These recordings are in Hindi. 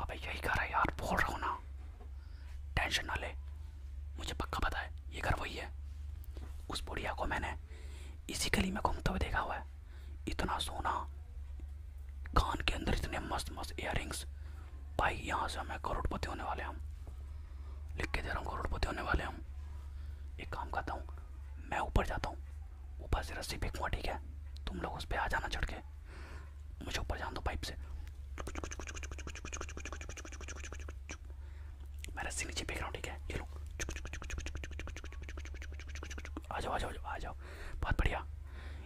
अबे यही घर है यार बोल रहा हूँ ना टेंशन ना ले मुझे पक्का पता है ये घर वही है उस बुढ़िया को मैंने इसी गली में घूमते हुए देखा हुआ है इतना सोना कान के अंदर इतने मस्त मस्त इयर भाई यहाँ से हमें करोड़पति होने वाले हम लिख के दे रहा हूँ करोड़पति होने वाले हम एक काम करता हूँ मैं ऊपर जाता हूँ ऊपर से रस्सी फेंकूँगा ठीक है तुम लोग उस पर आ जाना चढ़ के मुझे ऊपर जान दो पाइप से मैं रस्सी नीचे फेंक ठीक है ये लो आ जाओ आ जाओ आ जाओ बहुत बढ़िया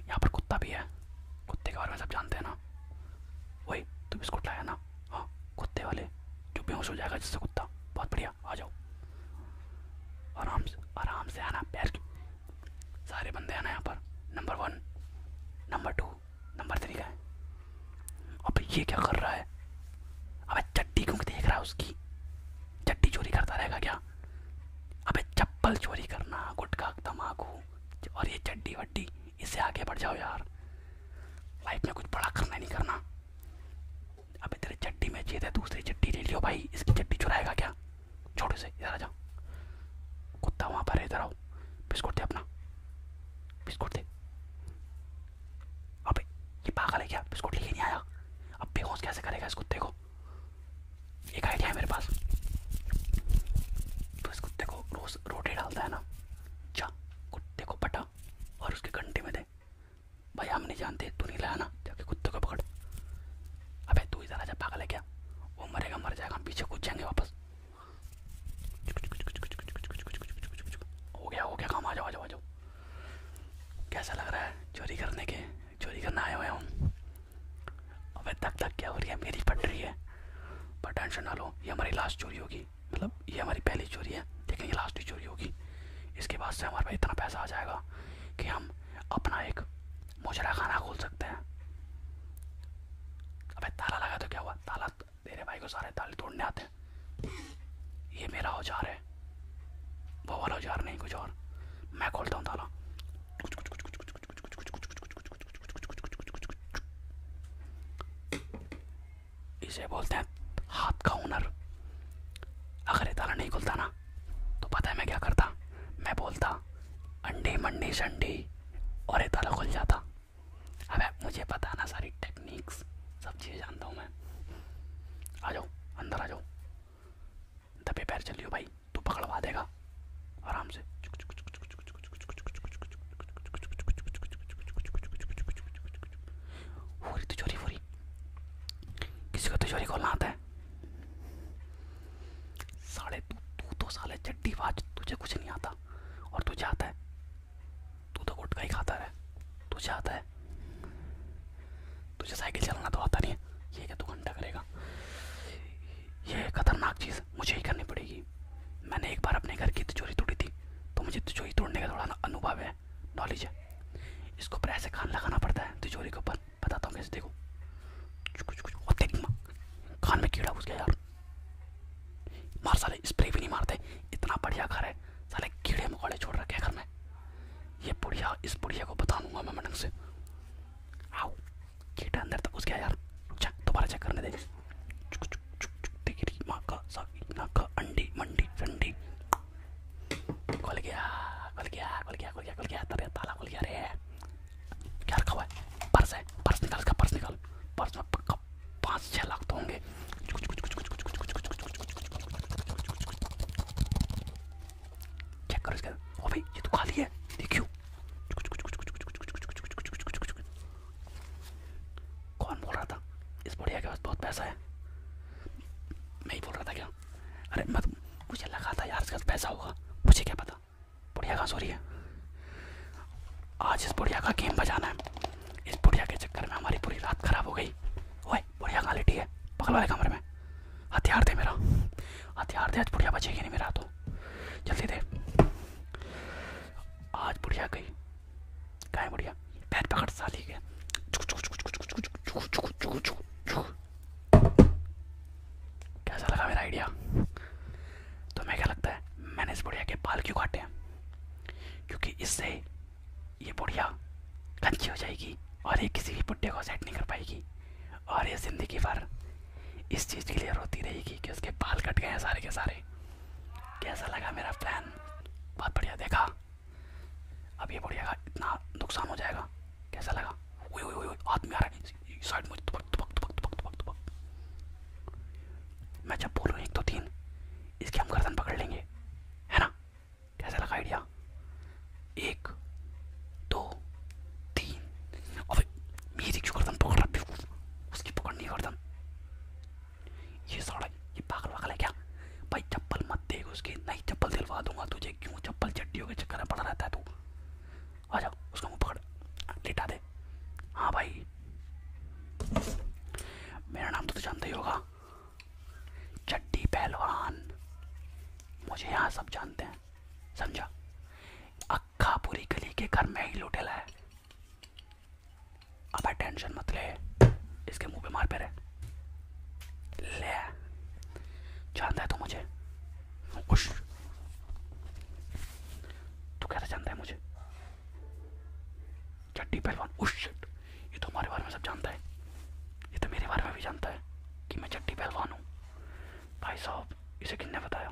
यहाँ पर कुत्ता भी है कुत्ते के बारे में सब जानते हैं ना वही तुम बिस्कुट लाया ना हाँ कुत्ते वाले जो बेहोश हो जाएगा जिससे कुत्ता बहुत बढ़िया आ जाओ आराम से आराम से आना पैर सारे बंदे हैं ना यहाँ पर number one number two number three का है अब ये क्या कर रहा है अबे चट्टी क्योंकि देख रहा है उसकी चट्टी चोरी करता रहेगा क्या अब चप्पल चोरी करना गुटखा तम्बाकू और ये चड्डी वड्डी इससे आगे बढ़ जाओ यार लाइफ में कुछ बड़ा करना नहीं करना अबे तेरे चट्टी में छेद है दूसरी चट्टी ले लियो भाई इसकी चट्टी चुराएगा क्या छोटे से इधर आ जा कुत्ता वहाँ पर है इधर आओ बिस्कुट दे अपना बिस्कुट दे अबे ये पागल है क्या बिस्कुट लेके नहीं आया अब बेहोश कैसे करेगा इस कुत्ते को एक आइडिया है मेरे पास तो इस कुत्ते को रोज रोटी डालता है ना जा कुत्ते को पटा और उसके घंटे में दे भाई हम नहीं जानते तू नहीं लाया ना जाके कुत्ते को पकड़ अबे तू इधर आजा पागल है क्या वो मरेगा मर जाएगा हम पीछे कूद जाएंगे वापस हो गया हो गया काम आ जाओ आ जाओ आ जाओ कैसा लग रहा है चोरी करने के चोरी करने आए हुए हम अबे तक तक क्या हो रही है मेरी पट रही है पर टेंशन ना लो ये हमारी लास्ट चोरी होगी मतलब ये हमारी पहली चोरी है लेकिन ये लास्ट ही चोरी होगी इसके बाद से हमारे पास इतना पैसा आ जाएगा कि हम अपना एक मुजरा खाना खोल सकते हैं अबे ताला लगा तो क्या हुआ ताला तेरे भाई को सारे ताले तोड़ने आते ये मेरा औजार है वो नहीं कुछ और मैं खोलता हूँ ताला बोलते हैं हाथ का हुनर अगर ये ताला नहीं खुलता ना तो पता है मैं क्या करता मैं बोलता अंडे मंडी शंडी और ये ताला खुल जाता अब मुझे पता ना सारी टेक्निक्स सब चीज़ें जानता हूँ मैं आ जाओ अंदर आ जाओ दबे पैर चलियो भाई तू पकड़वा देगा आराम से फूरी तिजोरी किसी को तिजोरी खोलना आता है साले तू तो साले चट्टीबाज तुझे कुछ नहीं आता और तुझे आता है तू तो गुटका ही खाता रहे तुझे आता है तुझे साइकिल चलाना तो आता नहीं है ये क्या तू घंटा करेगा ये खतरनाक चीज़ मुझे ही करनी पड़ेगी मैंने एक बार अपने घर की तिजोरी तोड़ी थी तो मुझे तिजोरी तोड़ने का थोड़ा अनुभव है नॉलेज है इसको पर ऐसे खान लगाना पड़ता है तिजोरी के ऊपर बताता हूँ कैसे देखो कुछ कुछ और देख कान में कीड़ा घुस गया यार मार साले स्प्रे भी नहीं मारते इतना बढ़िया घर है साले कीड़े मकोड़े छोड़ रखे घर में ये बुढ़िया इस बुढ़िया को बता दूंगा मैं मैडम से आओ कीड़ा अंदर तक घुस गया यार अच्छा दोबारा चेक करने दे चुक चुक चुक चुक टिकरी माँ का साकी ना का अंडी मंडी ठंडी खुल गया लाख तो होंगे तो खाली है देखियो कौन बोल रहा था इस बुढ़िया के पास बहुत पैसा है मैं ही बोल रहा था क्या अरे मत मुझे लगा था यार इसका पैसा होगा मुझे क्या पता बुढ़िया का सॉरी है आज इस बुढ़िया का गेम बजाना है इस बुढ़िया के चक्कर में हमारी पूरी रात खराब हो गई ओए बुढ़िया कहाँ लेटी है बगल वाले कमरे में हथियार दे मेरा हथियार दे आज बुढ़िया बचेगी नहीं मेरा तो जल्दी दे आज बुढ़िया गई कहा बुढ़िया पैर पकड़ साली के कैसा लगा मेरा आइडिया तुम्हें तो क्या लगता है मैंने इस बुढ़िया के बाल क्यों काटे हैं क्योंकि इससे ये बुढ़िया कंची हो जाएगी और ये किसी भी बुढ़े को सेट नहीं कर पाएगी और ये ज़िंदगी भर इस चीज़ के लिए रोती रहेगी कि उसके बाल कट गए हैं सारे के सारे कैसा लगा मेरा प्लान बहुत बढ़िया देखा अब ये बढ़िया इतना नुकसान हो जाएगा कैसा लगा ओए ओए ओए हाथ में आ रहा है साइड में तुपक तुपक तुपक तुपक तुपक तुपक मैं जब बोलूँ एक दो तीन इसके हम गर्दन पकड़ लेंगे है ना कैसा लगा आइडिया एक दो तीन अबे मेरी क्यों गर्दन पकड़ रहा है उसकी पकड़नी गर्दन ये साड़ा ये पागल वागल है क्या भाई चप्पल मत देख उसके नहीं चप्पल दिलवा दूंगा तुझे तुझे क्यों चप्पल चट्टियों के चक्कर में पड़ा रहता है तू आ जा उसका मुँह पकड़ लेटा दे हाँ भाई मेरा नाम तो तू जानता ही होगा चट्टी पहलवान मुझे यहाँ सब जानते हैं समझा अक्खा पूरी गली के घर में ही लुटेला है अब टेंशन मत ले इसके मुंह पे मार पे रहे ले जानता है तू मुझे उश तू कैसे जानता है मुझे चट्टी पहलवान उश ये तो हमारे बारे में सब जानता है ये तो मेरे बारे में भी जानता है कि मैं चट्टी पहलवान हूँ भाई साहब इसे किसने बताया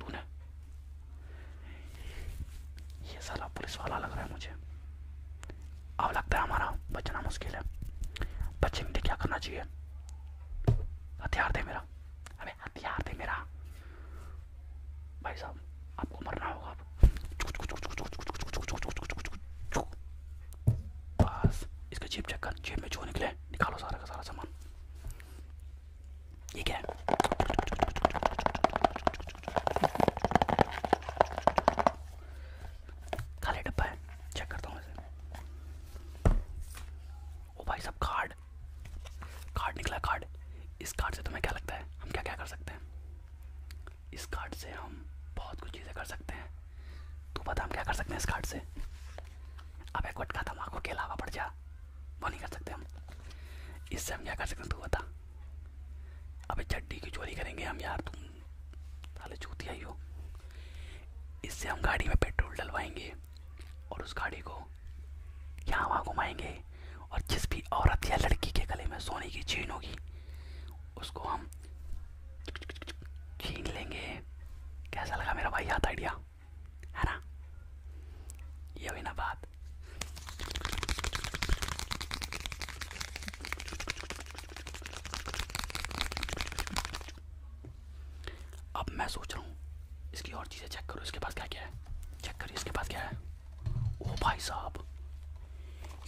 तूने ये साला पुलिस वाला लग रहा है मुझे अब लगता है हमारा बचना मुश्किल है बचेंगे क्या करना चाहिए हथियार दे मेरा अबे हथियार दे मेरा भाई साहब आपको मरना होगा इसका जेब में जो निकले निकालो सारा का सारा सामान ये है डब्बा है चेक करता हूँ ओ भाई साहब कार्ड कार्ड निकला कार्ड इस कार्ड से तुम्हें क्या लगता है हम क्या क्या कर सकते हैं इस कार्ड से हम बहुत कुछ चीज़ें कर सकते हैं तू पता हम क्या कर सकते हैं इस कार्ड से अब एक वटका तम्बाकू पड़ जा वो नहीं कर सकते हम इससे हम क्या कर सकते हैं तू बता अबे चड्डी की चोरी करेंगे हम यार तुम साले चूतिया ही हो इससे हम गाड़ी में पेट्रोल डलवाएंगे और उस गाड़ी को यहाँ वहाँ घुमाएंगे और जिस भी औरत या लड़की के गले में सोने की चेन होगी उसको हम छीन लेंगे कैसा लगा मेरा भाई याद आइडिया है ना ये भी ना बात अब मैं सोच रहा हूँ इसकी और चीज़ें चेक करो इसके पास क्या क्या है चेक करिए इसके पास क्या है ओ भाई साहब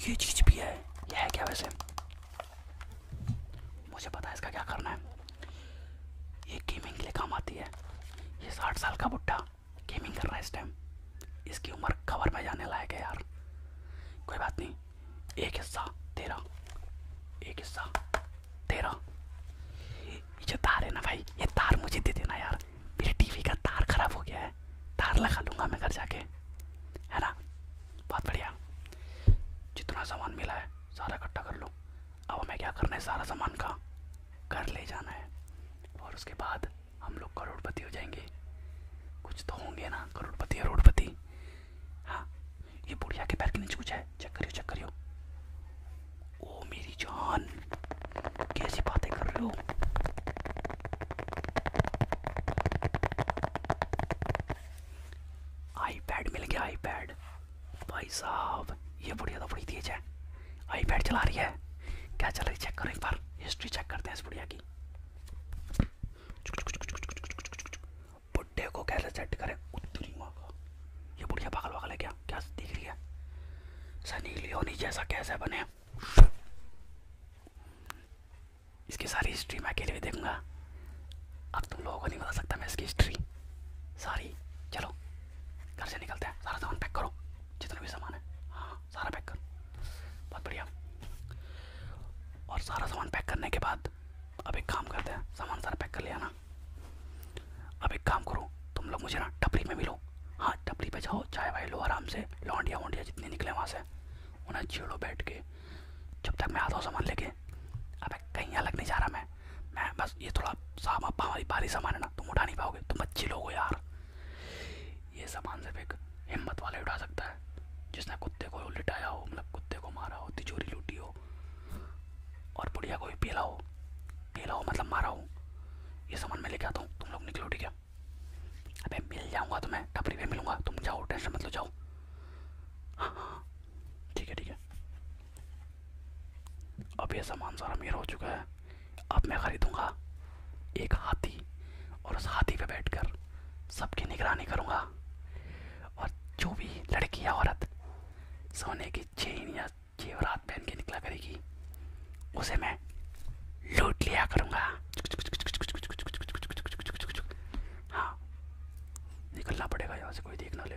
ये चीज़ भी है ये है क्या वैसे मुझे पता है इसका क्या करना है ये गेमिंग के लिए काम आती है ये साठ साल का बुढ़ा गेमिंग कर रहा है इस टाइम इसकी उम्र खबर में जाने लायक है यार कोई बात नहीं एक हिस्सा तेरा एक हिस्सा तेरा ये तार है ना भाई ये तार मुझे दे देना यार मेरे टीवी का तार खराब हो गया है तार लगा लूँगा मैं घर जाके है ना बहुत बढ़िया जितना सामान मिला है सारा इकट्ठा कर लो अब हमें क्या करना है सारा सामान का घर ले जाना है और उसके बाद हम लोग करोड़पति हो जाएंगे कुछ तो होंगे ना करोड़पति करोड़पति हाँ ये बुढ़िया के पैर के नीचे कुछ है चेक करियो चेक करियो ओ मेरी जान कैसी बातें कर रहे हो आईपैड मिल गया आईपैड भाई साहब ये बुढ़िया तो बड़ी तेज है आईपैड चला रही है क्या चल रही चेक करो एक बार हिस्ट्री चेक करते हैं इस बुढ़िया जाएगी बुढ़े को कैसे सेट करें उत्तरी माँ का ये बुढ़िया पागल वागल है क्या क्या दिख रही है सनी लियोनी जैसा कैसे बने इसकी सारी हिस्ट्री मैं अकेले भी देखूंगा अब तुम लोगों को नहीं बता सकता मैं इसकी हिस्ट्री सारी चलो घर से निकलते हैं सारा सामान पैक करो जितना भी सामान है हाँ सारा पैक कर बहुत बढ़िया और सारा सामान पैक करने के बाद अब एक काम करते हैं सामान सारा पैक कर लिया ना अब एक काम करो तुम लोग मुझे ना टपरी में मिलो हाँ टपरी पे जाओ चाय वाय लो आराम से लौंडिया वोंडिया जितने निकले वहाँ से उन्हें छेड़ो बैठ के जब तक मैं आता हूँ सामान लेके अब कहीं अलग नहीं जा रहा मैं मैं बस ये थोड़ा सामान हमारी भारी सामान है ना तुम उठा नहीं पाओगे तुम अच्छे लोग हो यार ये सामान सिर्फ एक हिम्मत वाले उठा सकता है जिसने कुत्ते को लिटाया हो मतलब कुत्ते को मारा हो तिजोरी लूटी हो और बुढ़िया को भी पीला हो पीला हो मतलब मारा हो ये सामान मैं लेके आता हूँ तुम लोग निकलो ठीक है अबे मिल जाऊँगा तो मैं टपरी पे मिलूँगा तुम जाओ टेंशन मतलब जाओ हाँ हाँ ठीक है ठीक है अब यह सामान सारा मेरा हो चुका है अब मैं ख़रीदूँगा एक हाथी और उस हाथी पे बैठकर सबकी निगरानी करूंगा और जो भी लड़की या औरत सोने की चेन या जेवरात पहन के निकला करेगी उसे मैं लूट लिया करूंगा हाँ निकलना पड़ेगा यहाँ से कोई देखना ले